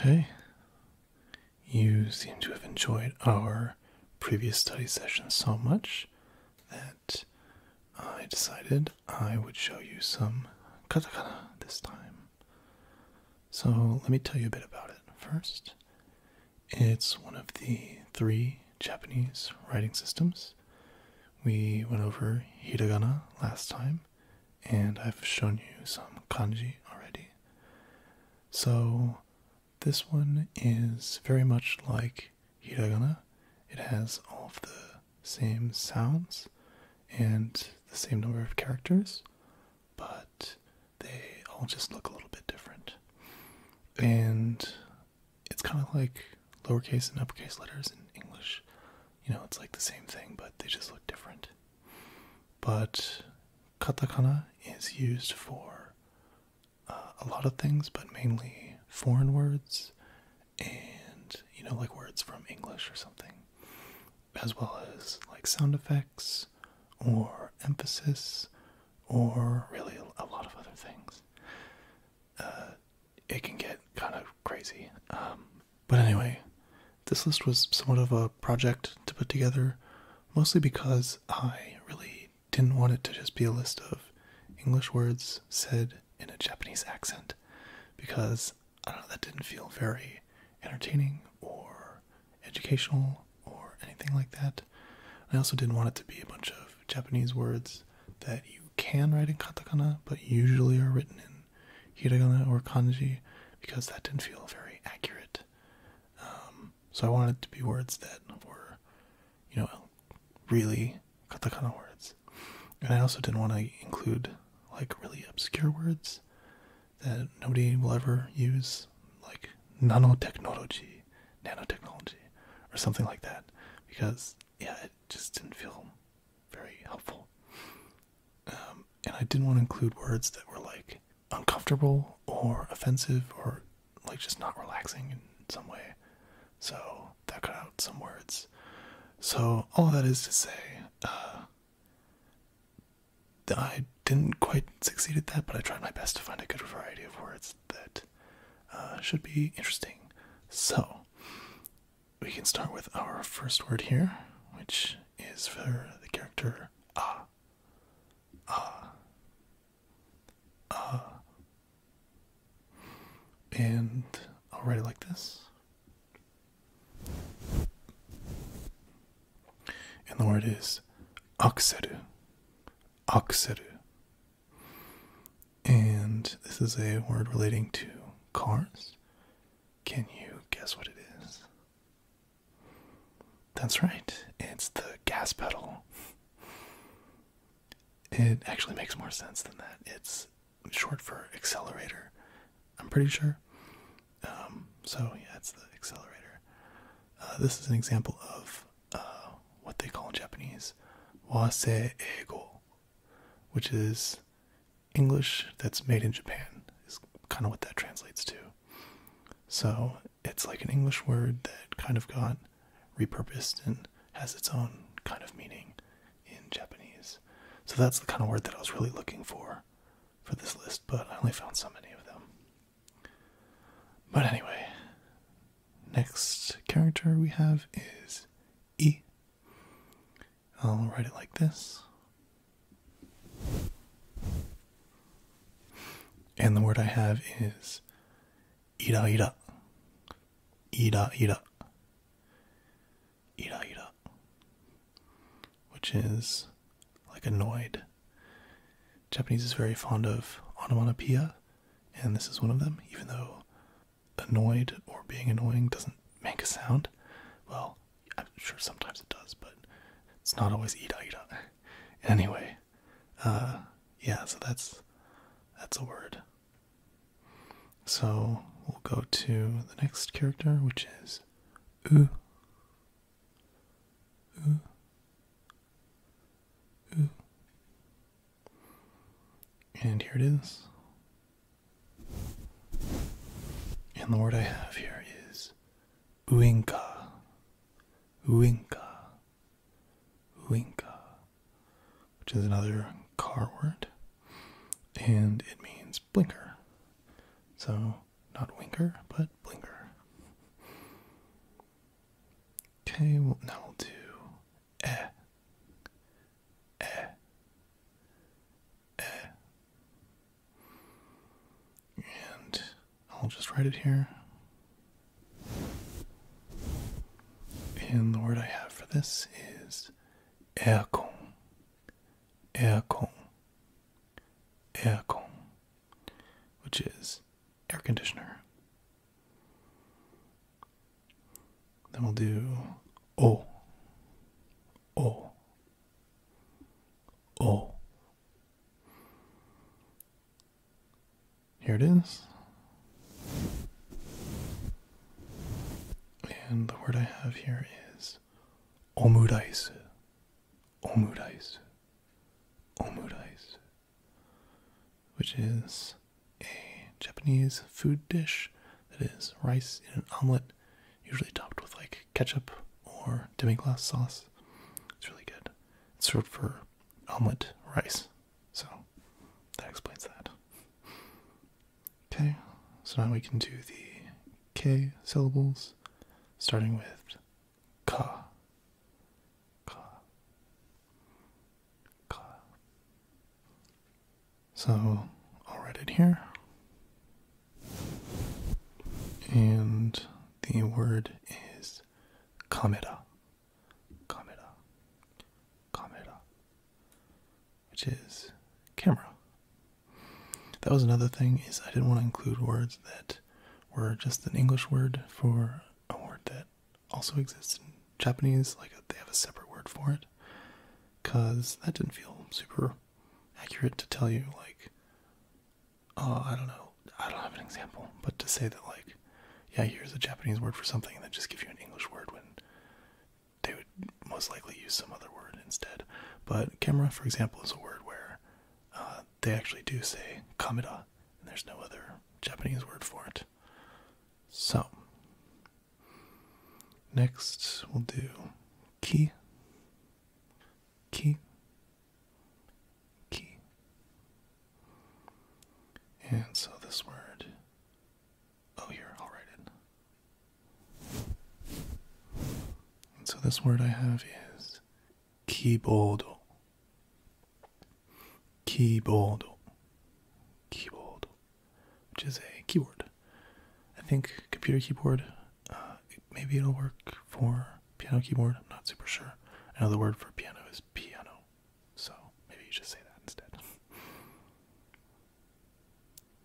Hey, you seem to have enjoyed our previous study session so much that I decided I would show you some katakana this time. So, let me tell you a bit about it first. It's one of the three Japanese writing systems. We went over hiragana last time, and I've shown you some kanji already. So this one is very much like hiragana. It has all of the same sounds and the same number of characters, but they all just look a little bit different. And it's kind of like lowercase and uppercase letters in English. You know, it's like the same thing, but they just look different. But katakana is used for uh, a lot of things, but mainly foreign words and, you know, like words from English or something, as well as like sound effects or emphasis or really a lot of other things. Uh, it can get kind of crazy. Um, but anyway, this list was somewhat of a project to put together, mostly because I really didn't want it to just be a list of English words said in a Japanese accent, because I don't know, that didn't feel very entertaining or educational or anything like that. I also didn't want it to be a bunch of Japanese words that you can write in katakana but usually are written in hiragana or kanji because that didn't feel very accurate. Um, so I wanted to be words that were, you know, really katakana words. And I also didn't want to include like really obscure words that nobody will ever use, like nanotechnology, nanotechnology, or something like that, because yeah, it just didn't feel very helpful. Um, and I didn't want to include words that were like uncomfortable or offensive or like just not relaxing in some way. So that cut out some words. So all that is to say, uh, I didn't quite succeed at that, but I tried my best to find a good variety of words that uh, should be interesting. So we can start with our first word here, which is for the character ah ah ah and I'll write it like this. And the word is Akseru. Akseru. And this is a word relating to cars. Can you guess what it is? That's right, it's the gas pedal. It actually makes more sense than that. It's short for accelerator, I'm pretty sure. Um, so, yeah, it's the accelerator. Uh, this is an example of uh, what they call in Japanese wasae ego, which is English that's made in Japan is kind of what that translates to. So it's like an English word that kind of got repurposed and has its own kind of meaning in Japanese. So that's the kind of word that I was really looking for for this list, but I only found so many of them. But anyway, next character we have is E. I'll write it like this and the word I have is ida ida. Ira ira. Ira ira. Which is like annoyed. Japanese is very fond of onomatopoeia, and this is one of them, even though annoyed or being annoying doesn't make a sound. Well, I'm sure sometimes it does, but it's not always Ida Ida. Anyway, uh, yeah, so that's that's a word. So we'll go to the next character, which is ooh. Ooh. Ooh. And here it is. And the word I have here is Winka, winka, winka, which is another car word, and it means blinker. So, not winker, but blinker. Okay, well, now we'll do eh, eh, eh, and I'll just write it here. And the word I have for this is aircon. Aircon. Aircon. Which is air conditioner. Then we'll do O. O. O. Here it is. And the word I have here is omudaisu. Omudaisu. Omudaisu. Which is a Japanese food dish that is rice in an omelet, usually topped with like ketchup or demi-glace sauce. It's really good. It's served for omelet rice. So that explains that. Okay, so now we can do the K syllables, starting with ka. Ka. Ka. So I'll write it here. And the word is kamera. Kamera. Kamera. Which is camera. That was another thing is I didn't want to include words that were just an English word for a word that also exists in Japanese, like they have a separate word for it. Cause that didn't feel super accurate to tell you like uh, I don't know, I don't have an example, but to say that like, yeah, here's a Japanese word for something, and then just give you an English word when they would most likely use some other word instead. But camera, for example, is a word where uh, they actually do say kamera, and there's no other Japanese word for it. So, next we'll do "key." Key key. And so this word, oh, here, I'll write it. And so this word I have is keyboard. Keyboard. Keyboard. Which is a keyboard. I think computer keyboard uh, maybe it'll work for piano keyboard. I'm not super sure. I know the word for piano is piano, so maybe you should say that instead.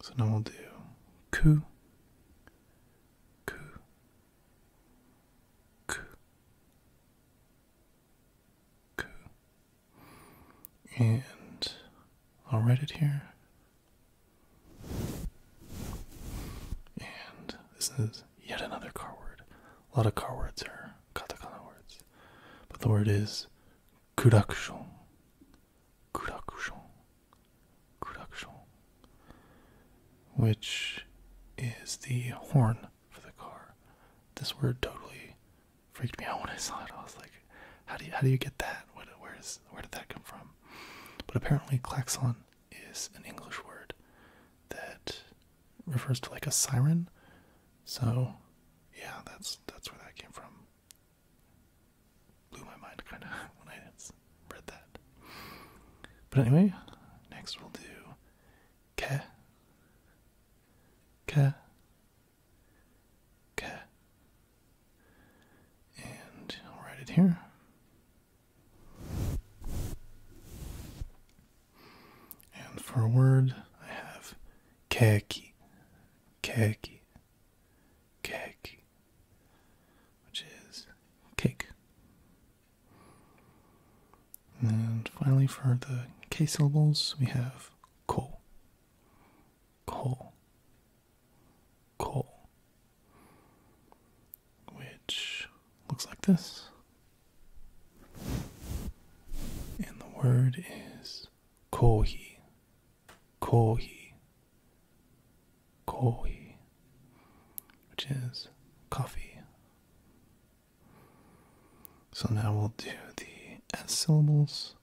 So now we'll do ku, ku, ku, ku, and I'll write it here. And this is yet another car word. A lot of car words are katakana words. But the word is kurakushon. Kurakushon. Kurakushon. Which is the horn for the car. This word totally freaked me out when I saw it. I was like, how do you, how do you get that? where's, where did that come from? But apparently klaxon is an English word that refers to like a siren. So, yeah, that's that's where that came from. Blew my mind kind of when I read that. But anyway, next we'll do care, care, ke, and I'll write it here. And for a word, I have khaki, khaki, khaki, which is cake. And finally, for the K syllables, we have ko, ko, ko, which looks like this. And the word is kohi, kohi, kohi, which is coffee. So now we'll do the S syllables.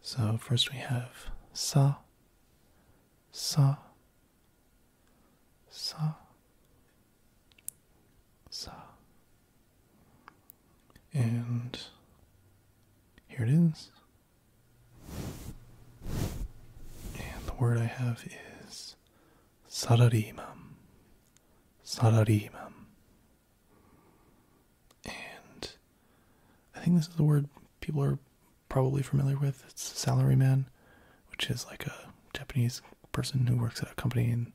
So first we have sa, sa, sa sa and here it is and the word I have is sararimam sararimam and I think this is the word people are probably familiar with. It's salaryman, which is like a Japanese person who works at a company and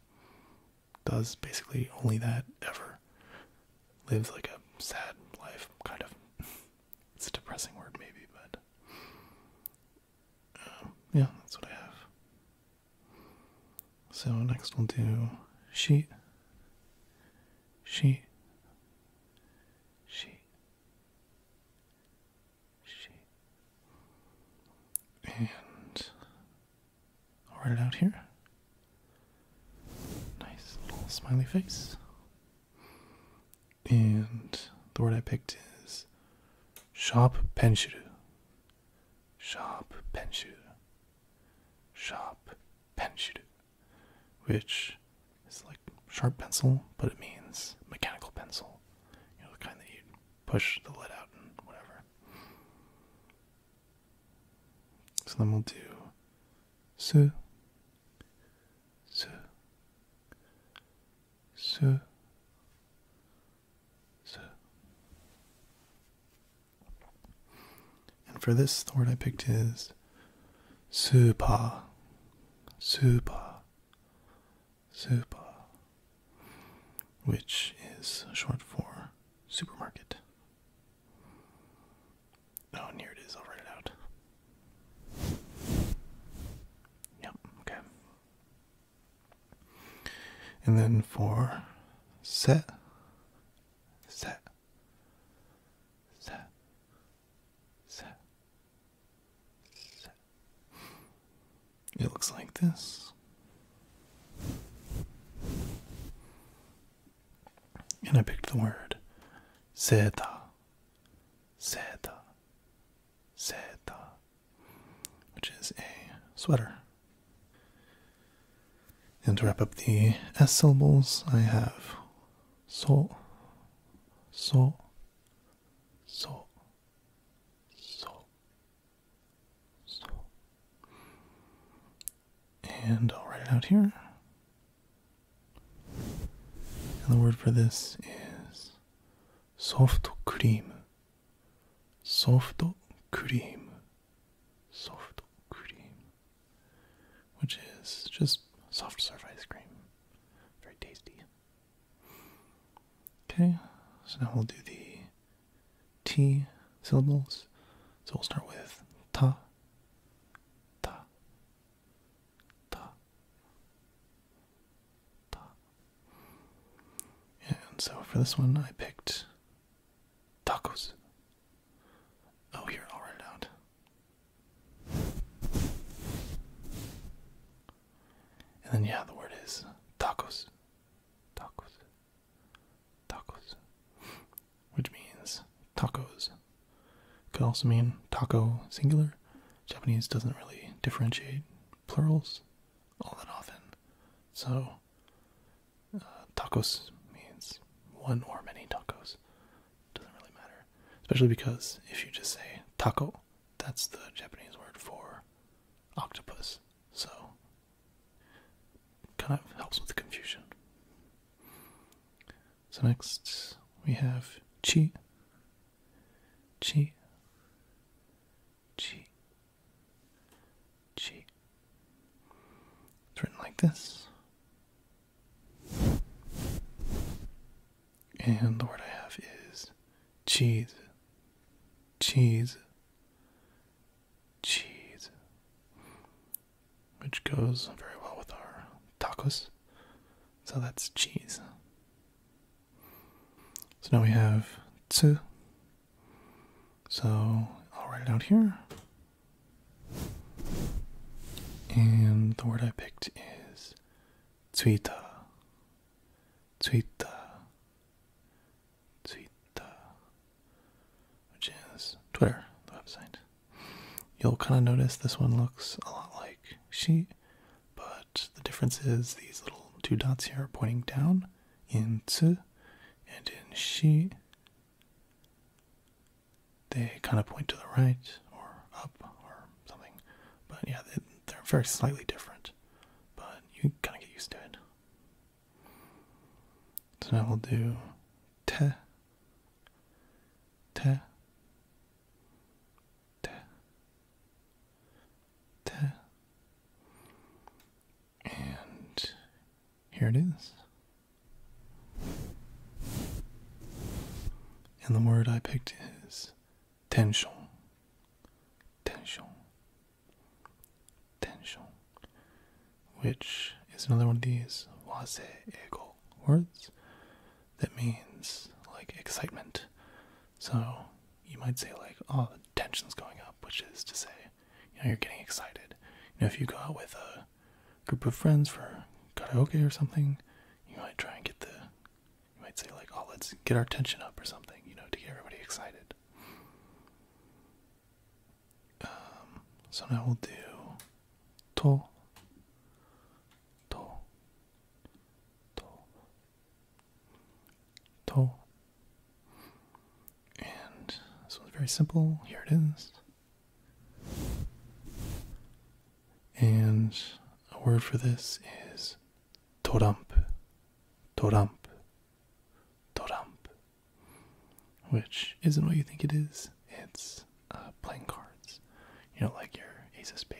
does basically only that ever. Lives like a sad life, kind of. It's a depressing word, maybe, but um, yeah, that's what I have. So next we'll do she, she, she, Shit. And I'll write it out here. Nice little smiley face. And the word I picked is "sharp penshuru. Shop penshuru. Shop penshuru. Which is like sharp pencil, but it means mechanical pencil. You know, the kind that you push the lid out and whatever. So then we'll do su, su, su, su. And for this, the word I picked is supa, supa, Super, which is short for supermarket. Oh, and here it is. I'll write it out. Yep, okay. And then for set, set, set, set, it looks like this. And I picked the word Zeta. Zeta. Zeta. Which is a sweater. And to wrap up the S syllables, I have so, so, so, so, so. And I'll write it out here. And the word for this is soft cream. Soft cream. Soft cream. Which is just soft serve ice cream. Very tasty. Okay, so now we'll do the T syllables. So we'll start with ta, ta, ta, ta. And so for this one, I picked tacos. Oh, here, I'll write it out. And then, yeah, the word is tacos. Tacos. Tacos. Which means tacos. Could also mean taco singular. Japanese doesn't really differentiate plurals all that often. So, uh, tacos means one or many tacos. Doesn't really matter. Especially because if you just say taco, that's the Japanese word for octopus, so kind of helps with the confusion. So next we have chi, chi, chi, chi. It's written like this. And the word I have is cheese, cheese, cheese, which goes very well with our tacos. So that's cheese. So now we have two. So I'll write it out here. And the word I picked is tsuita. Twitter, Twitter, which is Twitter, the website. You'll kind of notice this one looks a lot like she, but the difference is these little two dots here are pointing down in zu, and in "she." They kind of point to the right or up or something, but yeah, they're very slightly different but you kind of get used to it. So now we'll do te, te, te, te. And here it is. And the word I picked is tension tension, tension, which is another one of these wase ego words that means like excitement. So you might say like, oh, the tension's going up, which is to say, you know, you're getting excited. You know, if you go out with a group of friends for karaoke or something, you might try and get the you might say, like, oh, let's get our tension up or something, you know, to get everybody excited. Um, so now we'll do to, to, to, And this one's very simple. Here it is. And a word for this is toramp. トランプトランプ which isn't what you think it is. It's uh, playing cards. You know, like your ace of spade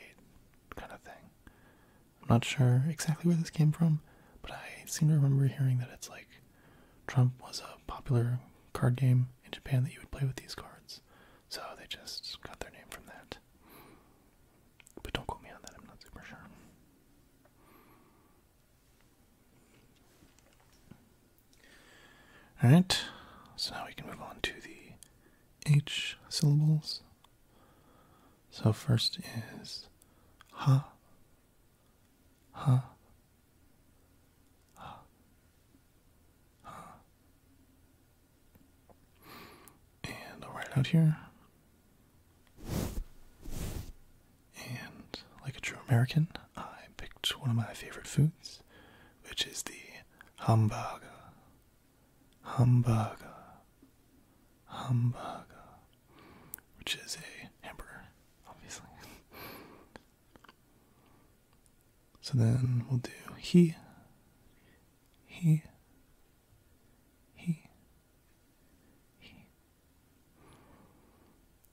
kind of thing. I'm not sure exactly where this came from, but I seem to remember hearing that it's like Trump was a popular card game in Japan that you would play with these cards. So they just got their name from that. But don't quote me on that, I'm not super sure. Alright, so now we can move on to the H syllables. So first is ha, ha, ha, ha. And i out here. And like a true American, I picked one of my favorite foods, which is the hamburger. Hamburger. Hamburger. Which is a hamburger, obviously. so then we'll do he. He. He.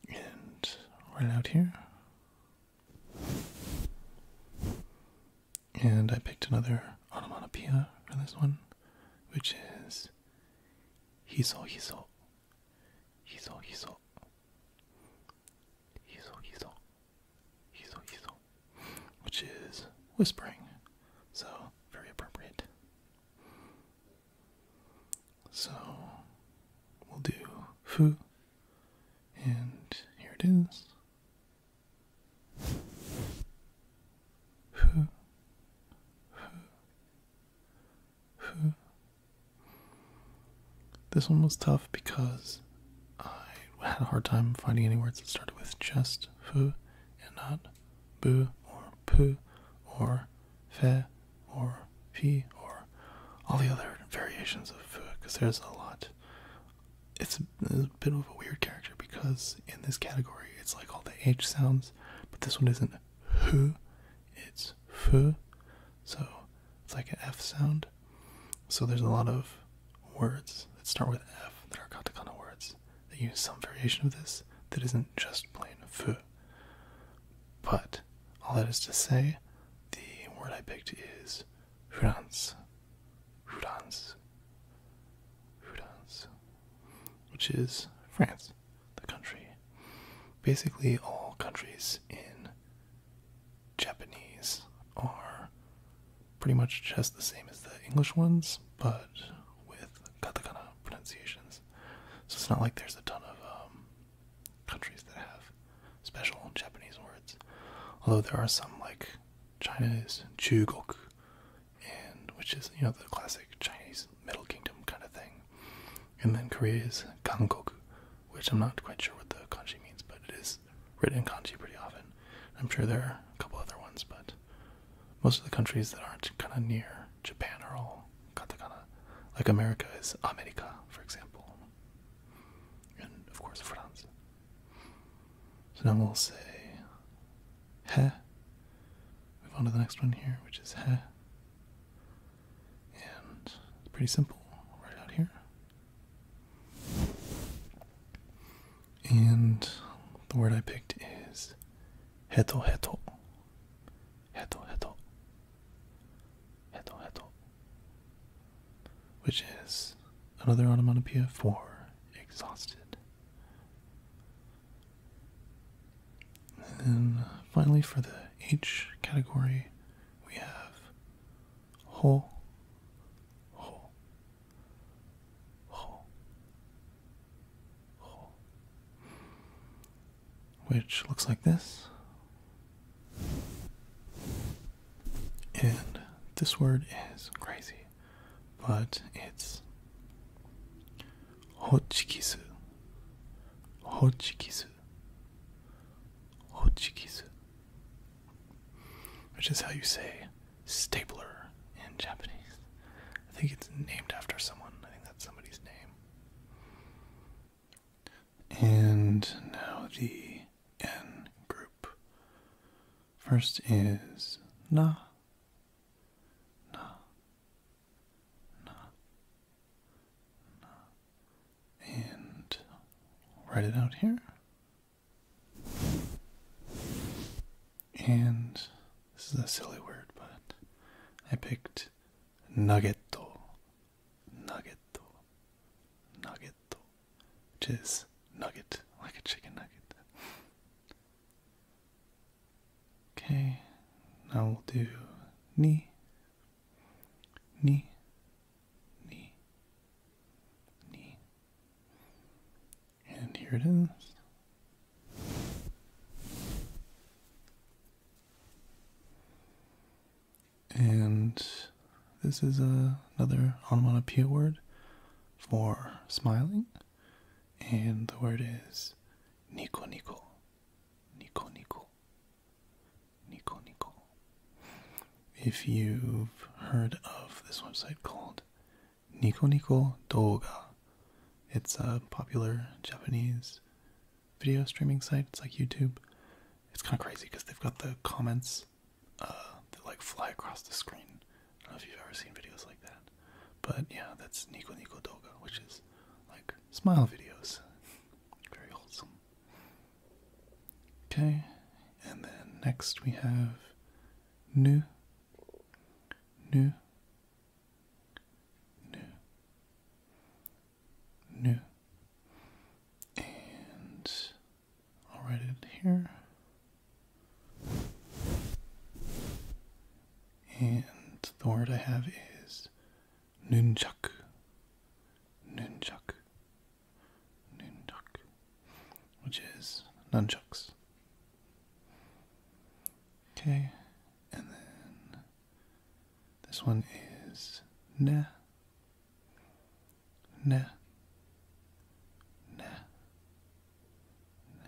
And right out here. And I picked another onomatopoeia for this one, which is hiso hiso. Hiso hiso. Hiso hiso. Hiso hiso. Which is whispering. So, very appropriate. So, we'll do foo, and here it is. Foo, foo, foo. This one was tough because I had a hard time finding any words that started with just foo and not bu or pu or f or p or all the other variations of f because there's a lot. It's a, it's a bit of a weird character because in this category it's like all the H sounds, but this one isn't who, it's fu, so it's like an F sound. So there's a lot of words that start with F that are katakana words that use some variation of this that isn't just plain "fu," But all that is to say, the word I picked is "france," Hurans. Hurans. Which is France, the country. Basically, all countries in Japanese are pretty much just the same as the English ones, but with katakana pronunciations. So it's not like there's a ton of um, countries that have special Japanese words. Although there are some like China is Chugok, and which is you know the classic Chinese Middle Kingdom kind of thing. And then Korea is Kangkok, which I'm not quite sure what the kanji means, but it is written in kanji pretty often. I'm sure there are a couple other ones, but most of the countries that aren't kind of near Japan are all katakana. Like America is America, for example. And of course, France. So now we'll say he. Move on to the next one here, which is he. And it's pretty simple right out here. And the word I picked is heto heto heto heto which is another onomatopoeia for exhausted and finally for the h category we have ho ho ho which looks like this. And this word is crazy, but it's hochikisu. Hochikisu. Hochikisu. Which is how you say stapler in Japanese. I think it's named after someone. I think that's somebody's name. And now the N group. First is Na. Na. Na. And write it out here. And this is a silly word, but I picked nuggeto, nuggeto, nuggeto, which is nugget, like a chicken nugget. Okay, now we'll do knee, knee, knee, ni. And here it is. And this is another onomatopoeia word for smiling. And the word is nico nico. Nico nico. Nico nico. If you've heard of this website called Nico Nico Doga. It's a popular Japanese video streaming site. It's like YouTube. It's kind of crazy because they've got the comments uh, that like fly across the screen. I don't know if you've ever seen videos like that. But yeah, that's Nico Nico Doga, which is like smile videos. Very wholesome. Okay, and then next we have Nu. Nu new, new, and I'll write it here. And the word I have is nunchuk. Nunchuk. Nunchuk. Which is nunchucks. Okay, and then this one is na, na, na, na,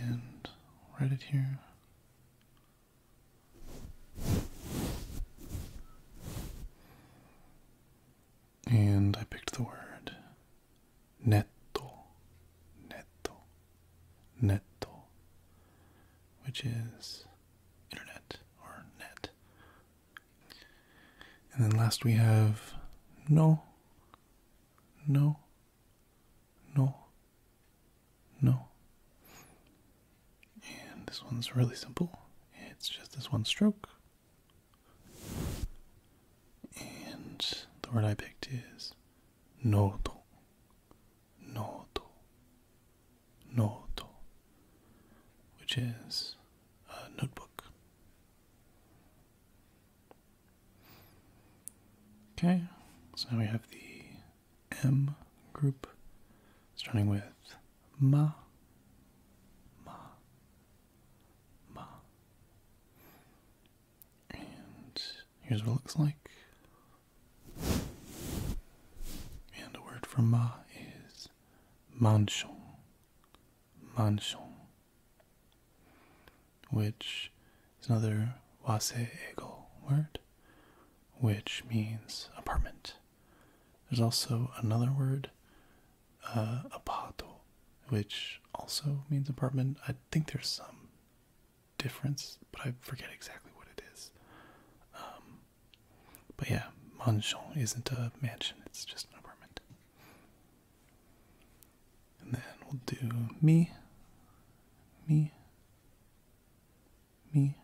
and write it here. And I picked the word netto, netto, netto, which is internet or net. And then last we have no, no, no, no. And this one's really simple. It's just this one stroke. And the word I picked is noto, Note. noto, which is a notebook. Okay, so now we have the M group, starting with ma, ma, ma. And here's what it looks like. And a word for ma is manchon. Manchon. Which is another wase word, which means apartment. There's also another word, uh, apato, which also means apartment. I think there's some difference, but I forget exactly what it is. Um, but yeah, mansion isn't a mansion, it's just an apartment. And then we'll do me, me, me.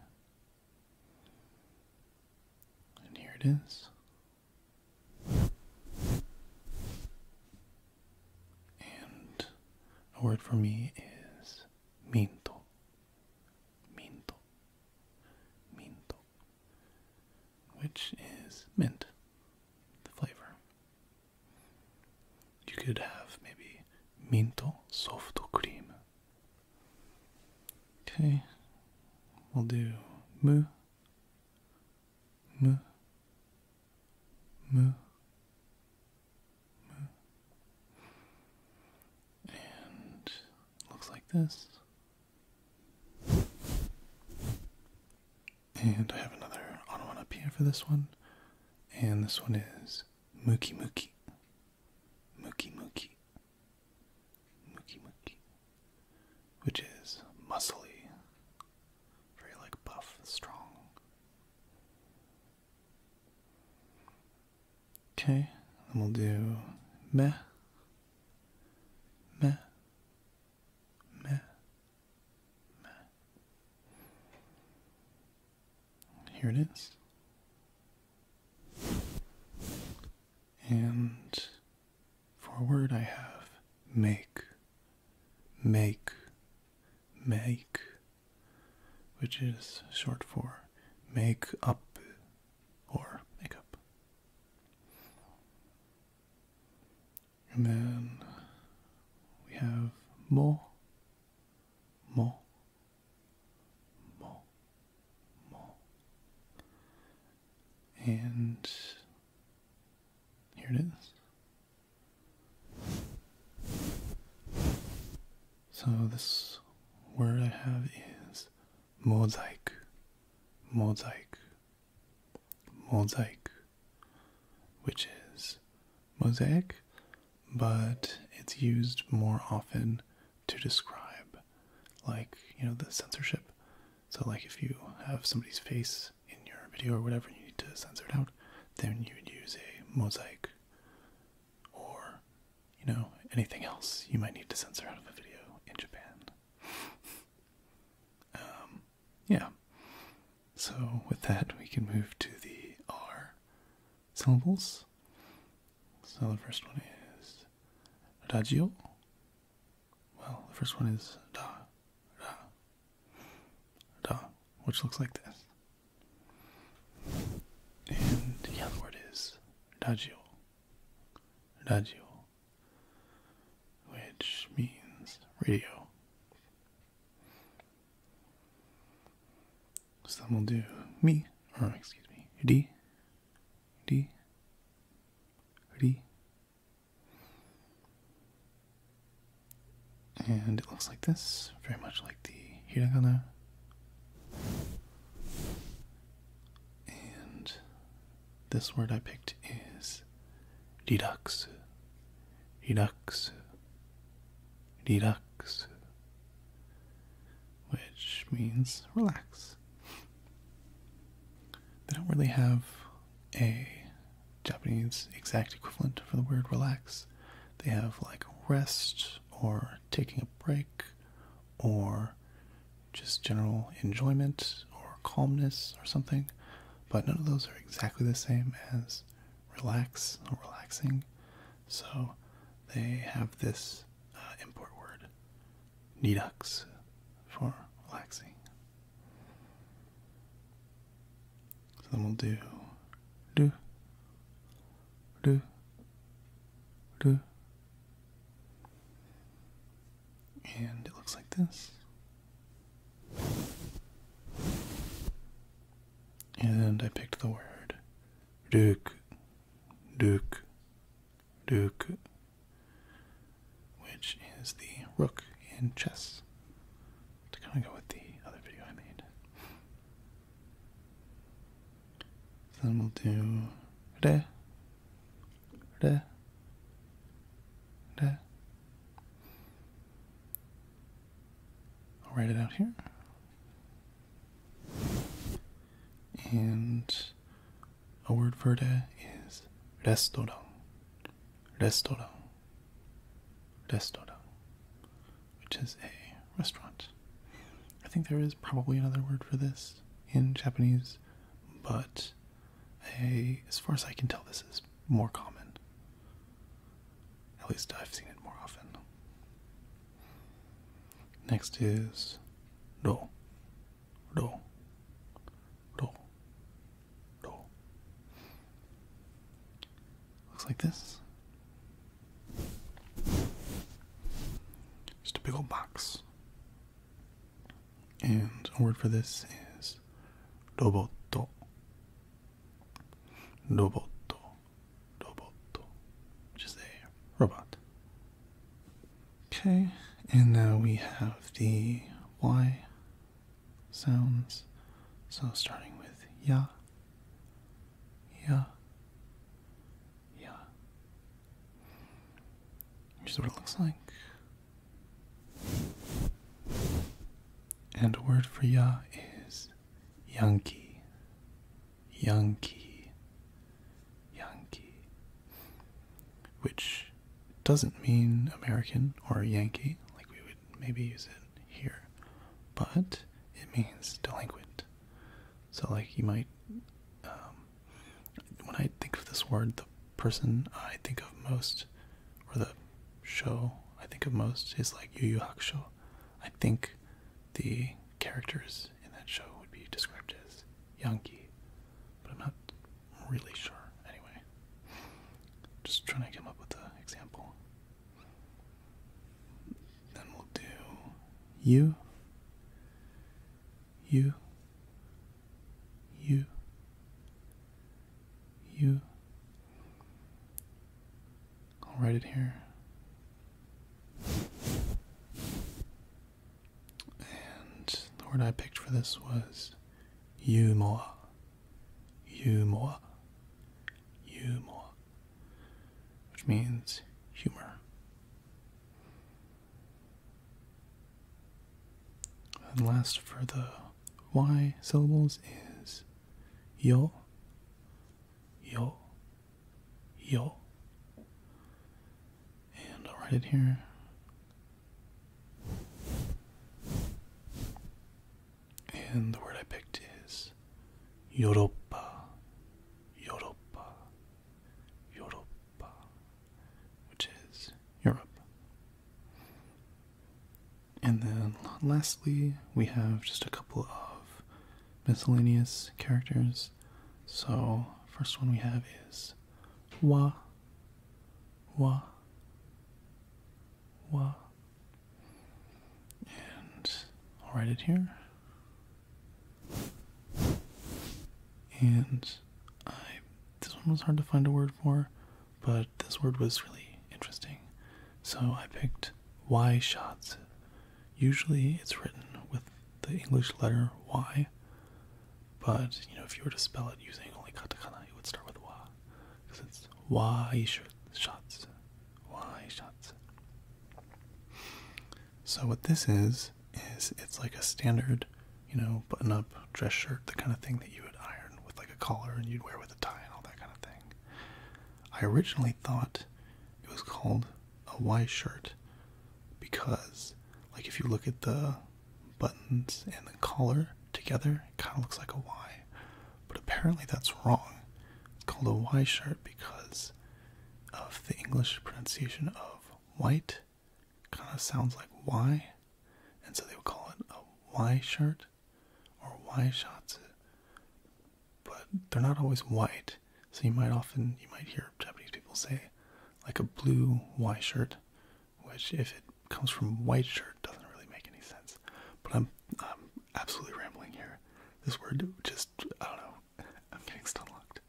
And here it is. And a word for me is minto. Minto. Minto. Which is mint, the flavor. You could have maybe minto soft cream. Okay, we'll do mu, m m m and looks like this. And I have another on one up here for this one. And this one is muki muki, muki muki, muki muki, Which is muscly. Very like buff, strong. Okay, then we'll do me, me, me, meh. Here it is. And for a word, I have make make, make, which is short for make up or makeup. And then we have more, more, more, mo. And here it is. So this word I have is mosaic, mosaic, mosaic, which is mosaic, but it's used more often to describe, like, you know, the censorship. So, like, if you have somebody's face in your video or whatever you need to censor it out, then you would use a mosaic or, you know, anything else you might need to censor out of a video in Japan. um, yeah. So with that, we can move to the R syllables. So the first one is radio. Well, the first one is da, ra, Duh, which looks like this. And the other word is radio. Adagio. Which means radio. So then we'll do me, or excuse me, D, D, D. And it looks like this, very much like the hiragana. And this word I picked is riraksu. Riraksu. Riraksu. Which means relax. They don't really have a Japanese exact equivalent for the word relax. They have like rest or taking a break or just general enjoyment or calmness or something, but none of those are exactly the same as relax or relaxing. So they have this uh, import word, nidux, for relaxing. So I'm gonna do do do do and it looks like this. And I picked the word Duke, Duke, Duke, which is the rook in chess to kind of go with the other video I made. then we'll do re, re, re. I'll write it out here. And a word for re is restaurant, restaurant, Destodo, which is a restaurant. I think there is probably another word for this in Japanese, but a, as far as I can tell, this is more common. At least I've seen it more often. Next is do, ro, ro, ro. Looks like this. Just a big old box. And a word for this is roboto. Roboto. Roboto. Which is a robot. Okay, and now we have the Y sounds. So starting with ya yeah. Yeah. is what it looks like. And a word for ya is Yankee. Yankee. Yankee. Which doesn't mean American or Yankee like we would maybe use it here, but it means delinquent. So, like, you might. Um, when I think of this word, the person I think of most, or the show I think of most, is like Yu Yu Hakusho. I think the characters in that show would be described as yonki, but I'm not really sure. Anyway, just trying to come up with an example. Then we'll do you, you, you, you. I'll write it here. And the word I picked for this was Yumoa. Yumoa. Yumoa which means humor. And last for the Y syllables is yo, yo, yo. And I'll write it here. And the word I picked is Europa, Europa, Europa, which is Europe. And then lastly, we have just a couple of miscellaneous characters. So, first one we have is Wa, Wa, Wa. And I'll write it here. And I this one was hard to find a word for, but this word was really interesting. So I picked Y shots. Usually it's written with the English letter Y, but you know if you were to spell it using only katakana, it would start with wa, because it's Y shots why shots. So what this is is it's like a standard, you know, button-up dress shirt, the kind of thing that you would iron with like a collar and you'd wear with a tie and all that kind of thing. I originally thought it was called a Y shirt because, like, if you look at the buttons and the collar together, it kind of looks like a Y but apparently that's wrong. It's called a Y shirt because of the English pronunciation of white, kind of sounds like Y, and so they would call it a Y shirt or Y shots. But they're not always white, so you might often you might hear Japanese people say like a blue Y shirt, which if it comes from white shirt doesn't really make any sense. But I'm absolutely rambling here. This word just, I don't know, I'm getting stuck. locked.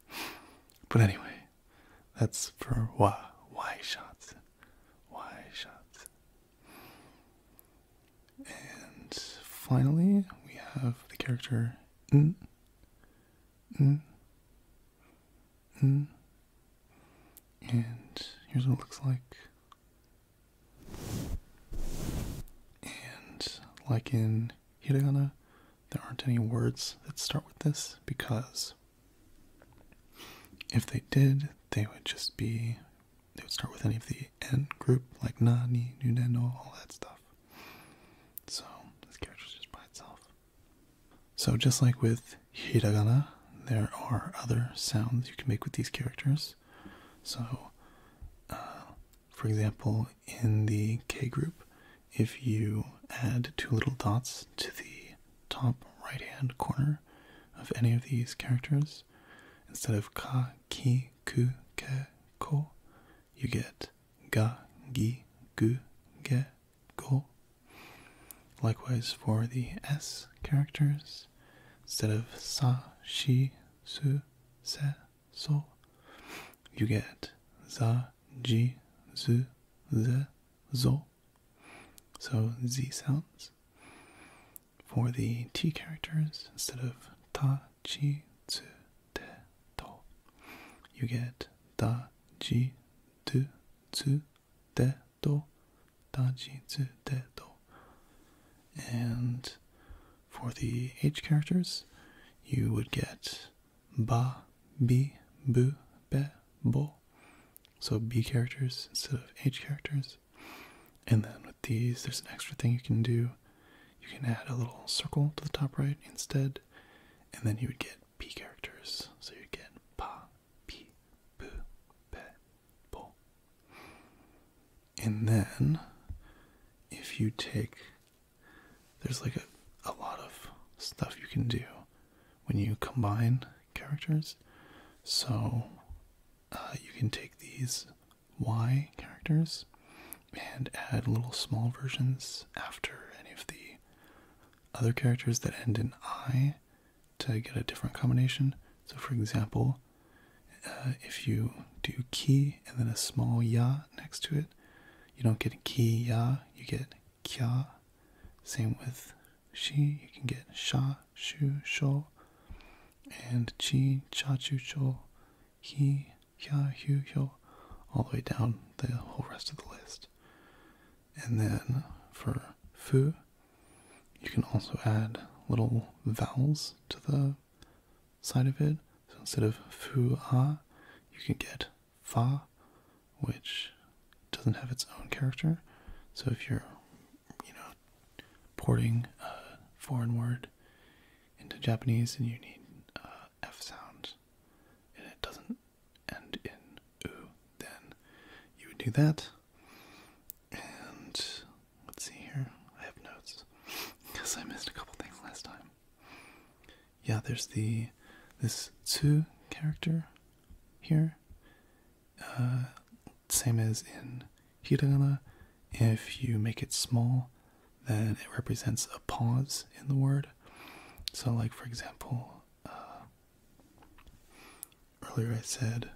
But anyway, that's for why, why shots, why shots. And finally, we have the character N. N. N. And here's what it looks like. And like in hiragana, there aren't any words that start with this because if they did, they would just be, they would start with any of the N group, like na, ni, nu, ne, all that stuff. So this character's just by itself. So just like with hiragana, there are other sounds you can make with these characters. So uh, for example, in the K group, if you add two little dots to the top right hand corner of any of these characters, instead of ka, ki, ku, ke, ko, you get ga, gi, gu, ge, go. Likewise for the S characters, instead of sa, shi, su, se, so you get za, ji, zu, ze, zo. So z sounds. For the t characters, instead of ta, chi, tsu, te, to, you get da, ji, tu, tsu, te, to, da, ji, tsu, te, to. And for the H characters, you would get ba, bi, bu, be, bo. So B characters instead of H characters. And then with these, there's an extra thing you can do. You can add a little circle to the top right instead, and then you would get P characters. So you'd get pa, pi, bu, be, bo. And then if you take there's like a, a lot of stuff you can do when you combine characters. So uh, you can take these Y characters and add little small versions after any of the other characters that end in I to get a different combination. So, for example, uh, if you do ki and then a small ya next to it, you don't get ki ya, you get kya. Same with she, you can get sha, shu, sho, and chi, cha, chu, cho, he, ya, hu, hyo, all the way down the whole rest of the list. And then for fu, you can also add little vowels to the side of it. So instead of fu a, you can get fa, which doesn't have its own character. So if you're, you know, porting a foreign word into Japanese and you need uh, f sounds, and it doesn't end in u, then you would do that. And Let's see here. I have notes because I missed a couple things last time. Yeah, there's the this two character here. Uh, same as in hiragana. If you make it small, then it represents a pause in the word. So, like for example, uh, earlier I said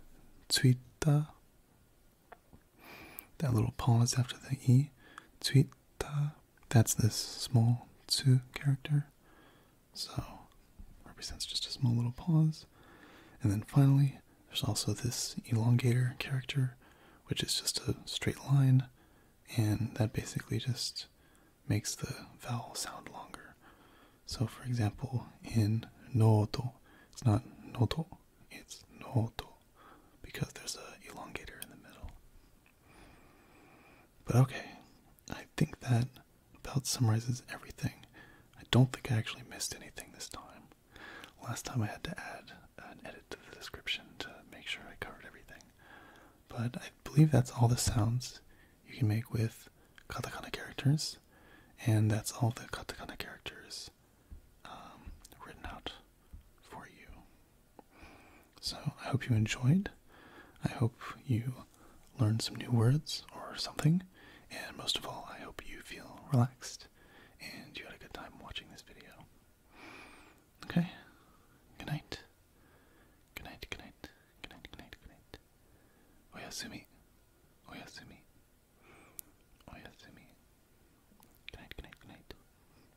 tsuita that little pause after the E, tsuita, that's this small tsu character. So, represents just a small little pause. And then finally, there's also this elongator character, which is just a straight line, and that basically just makes the vowel sound longer. So, for example, in noto, it's not noto, it's noto because there's a elongator in the middle. But okay, I think that about summarizes everything. I don't think I actually missed anything this time. Last time I had to add an edit to the description to make sure I covered everything. But I believe that's all the sounds you can make with katakana characters, and that's all the katakana characters um, written out for you. So I hope you enjoyed. I hope you learned some new words or something. And most of all, I hope you feel relaxed and you had a good time watching this video. Okay? Good night. Good night, good night, good night, good night, good night. Oyasumi. Oyasumi. Oyasumi. Good night, good night, good night.